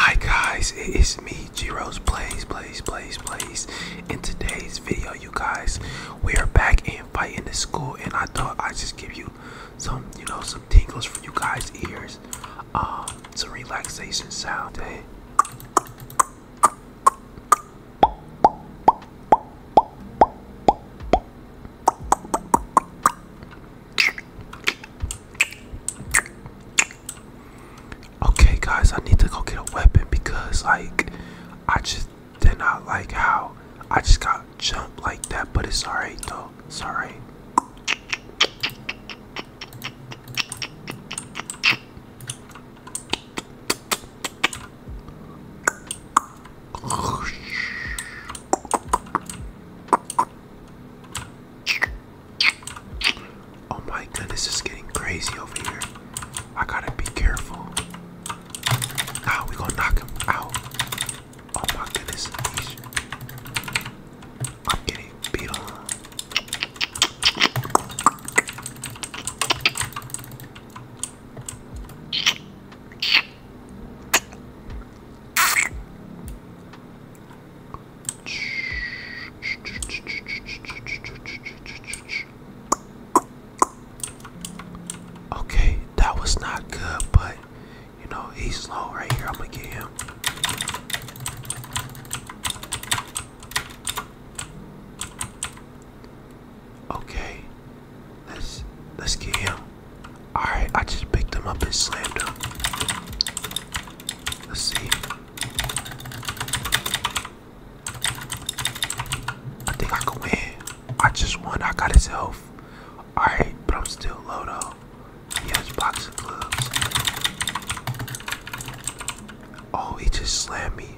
Hi guys, it is me, Rose. Plays, Plays, Plays, Plays. In today's video, you guys, we are back in fighting the school, and I thought I'd just give you some, you know, some tingles for you guys' ears, um, some relaxation sound okay guys i need to go get a weapon because like i just did not like how i just got jumped like that but it's all right though it's all right Oh my goodness, this is getting crazy over here. I gotta be careful. Now we gonna knock him out. Oh my goodness, I'm getting beat on. Okay, that was not good, but you know, he's slow right here. I'm gonna get him. Okay, let's let's get him. Alright, I just picked him up and slammed him. Let's see. I think I can win. I just won. I got his health. Alright, but I'm still low though. He has boxing gloves. Oh, he just slammed me.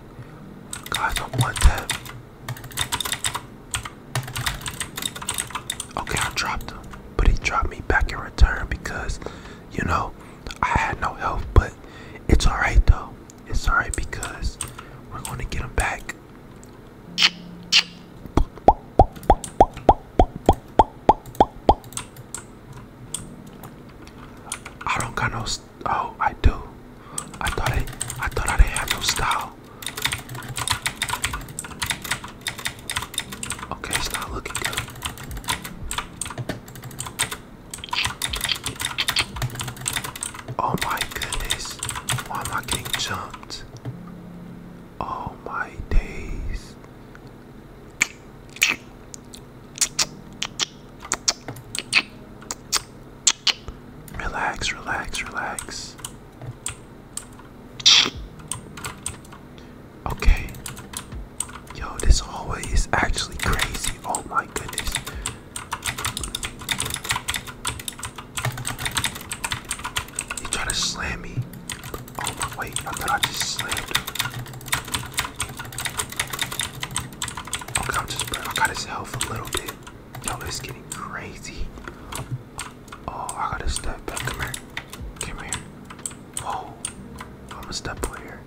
Guys, I'm one tap. Okay, I dropped him, but he dropped me back in return because you know, I had no help, but it's alright though. It's alright because we're gonna get them back. I don't got no. Oh, I do. I thought I. I thought I didn't have no style. Okay, it's not looking good. Oh my goodness. Why am I getting jumped? Oh my days. Relax, relax, relax. Okay. Yo, this hallway is actually crazy. Oh my goodness. He tried to slam me. Oh wait, I thought I just slammed Okay, I'm just I got his health a little bit. Yo, it's getting crazy. Oh, I gotta step Come here. Come here. Whoa, I'm a step player.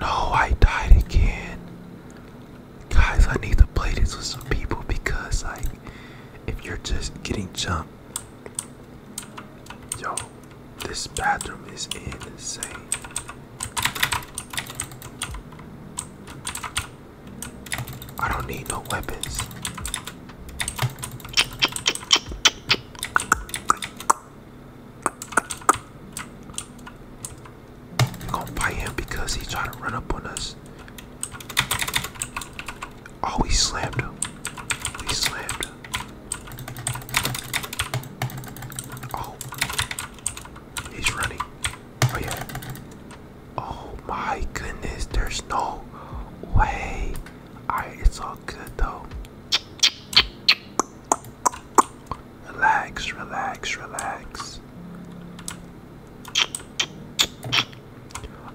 No, I died again. Guys, I need to play this with some people because, like, if you're just getting jumped, yo, this bathroom is insane. I don't need no weapons. gonna fight him because he tried to run up on us. Oh, he slammed him. He slammed him. Oh. He's running. Oh yeah. Oh my goodness, there's no way. Alright, it's all good though. Relax, relax, relax.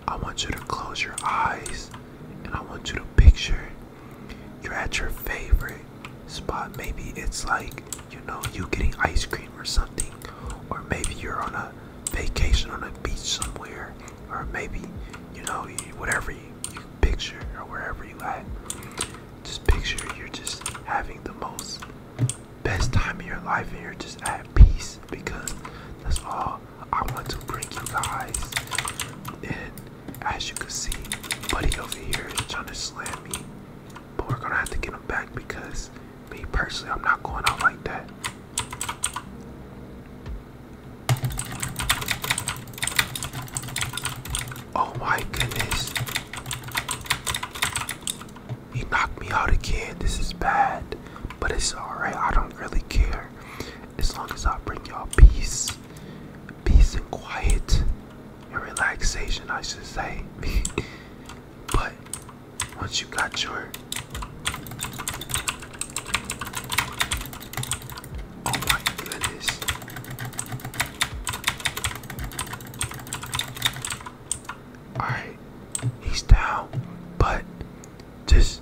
I want you to close your eyes and I want you to picture you're at your favorite spot. Maybe it's like, you know, you getting ice cream or something. Or maybe you're on a vacation on a beach somewhere. Or maybe, you know, whatever you, you picture or wherever you at. Just picture you're just having the most best time of your life and you're just at peace because that's all I want to bring you guys. And as you can see, buddy over here is trying to slam me. But we're gonna have to get him back because me personally, I'm not going out like that. Oh my goodness. He knocked me out again. This is bad. But it's alright. I don't really care. As long as I bring y'all peace. Peace and quiet and relaxation, I should say. but once you got your oh my goodness. Alright, he's down, but just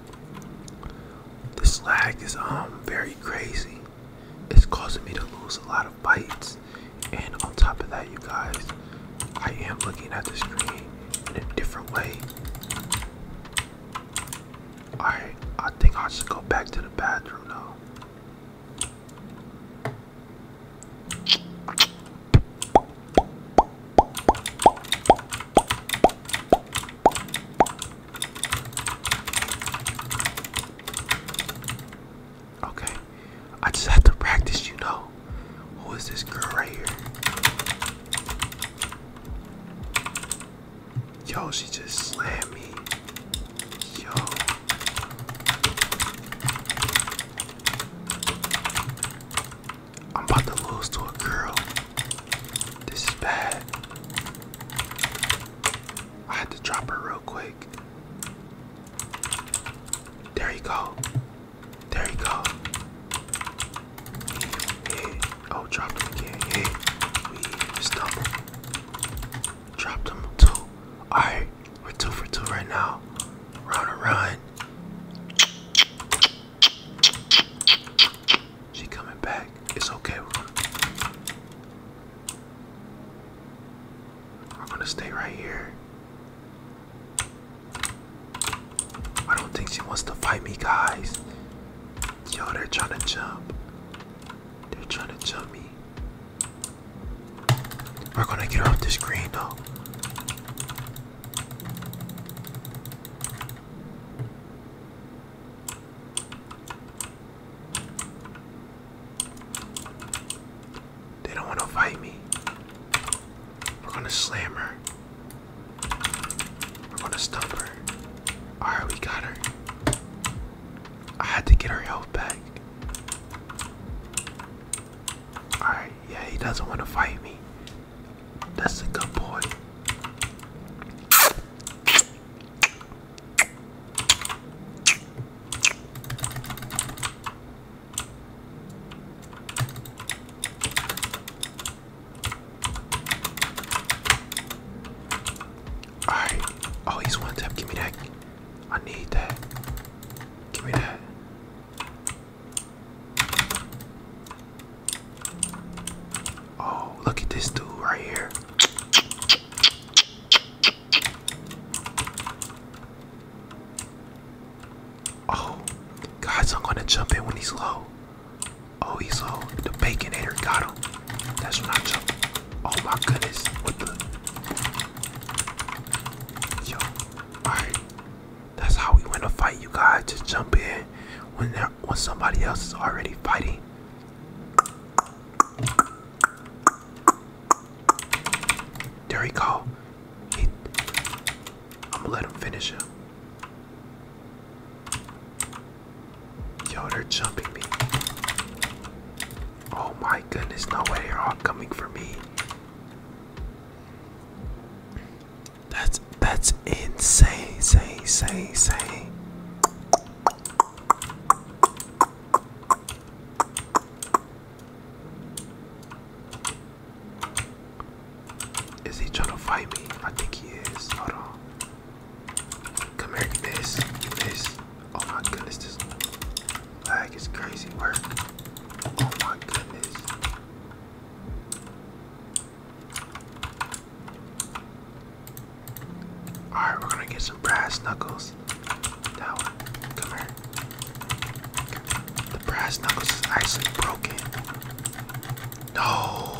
This lag is um very crazy. It's causing me to lose a lot of bites, and on top of that, you guys, I am looking at the screen in a different way. Alright, I think I should go back to the bathroom now. Okay, I just have to practice, you know. Who is this girl right here? Yo, she just slammed me. Yo. I'm about to lose to a girl. This is bad. I had to drop her real quick. There you go. There you go. Oh, drop him again. Yeah. We stumbled. Dropped him too. Alright, we're two for two right now. Round and run. She coming back. It's okay. We're gonna, stay right here. I don't think she wants to fight me, guys. Yo, they're trying to jump. They're trying to jump me. We're gonna get her off this screen, though. They don't want to fight me. We're gonna slam her. We're gonna stump her. Alright, we got her. I had to get her health back. Alright, yeah, he doesn't want to fight me. That's a good boy. Alright. Oh, he's one tap. Give me that. I need that. Give me that. Oh, look at this dude right here. Oh, guys, I'm gonna jump in when he's low. Oh, he's low. The baconator got him. That's when I jump. Oh my goodness. What the? Yo, alright. That's how we win a fight, you guys. Just jump in when there, when somebody else is already fighting. There we go. let him finish him. Yo, they're jumping me. Oh my goodness, no way, they're all coming for me. That's that's insane, say, say, say. Is he trying to fight me? I think he is. Hold on. Come here, you miss. miss. Oh my goodness, this lag is crazy work. Oh my goodness. Alright, we're gonna get some brass knuckles. Now, come here. The brass knuckles is actually broken. No!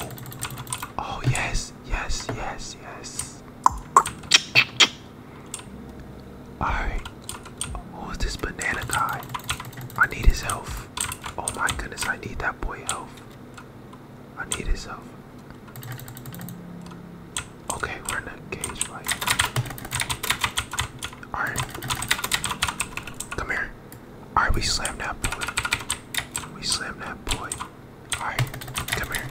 Oh, yes, yes, yes, yes. Alright. Who is this banana guy? I need his health. Oh my goodness, I need that boy health. I need his help. Okay, we're in the cage fight. Alright. Come here. Alright, we slammed that boy. We slammed that boy. Alright, come here.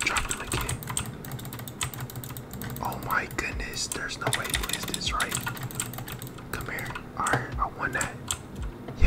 Drop him again. Oh my goodness, there's no way he wins this, right? Come here. Alright, I won that. Yeah,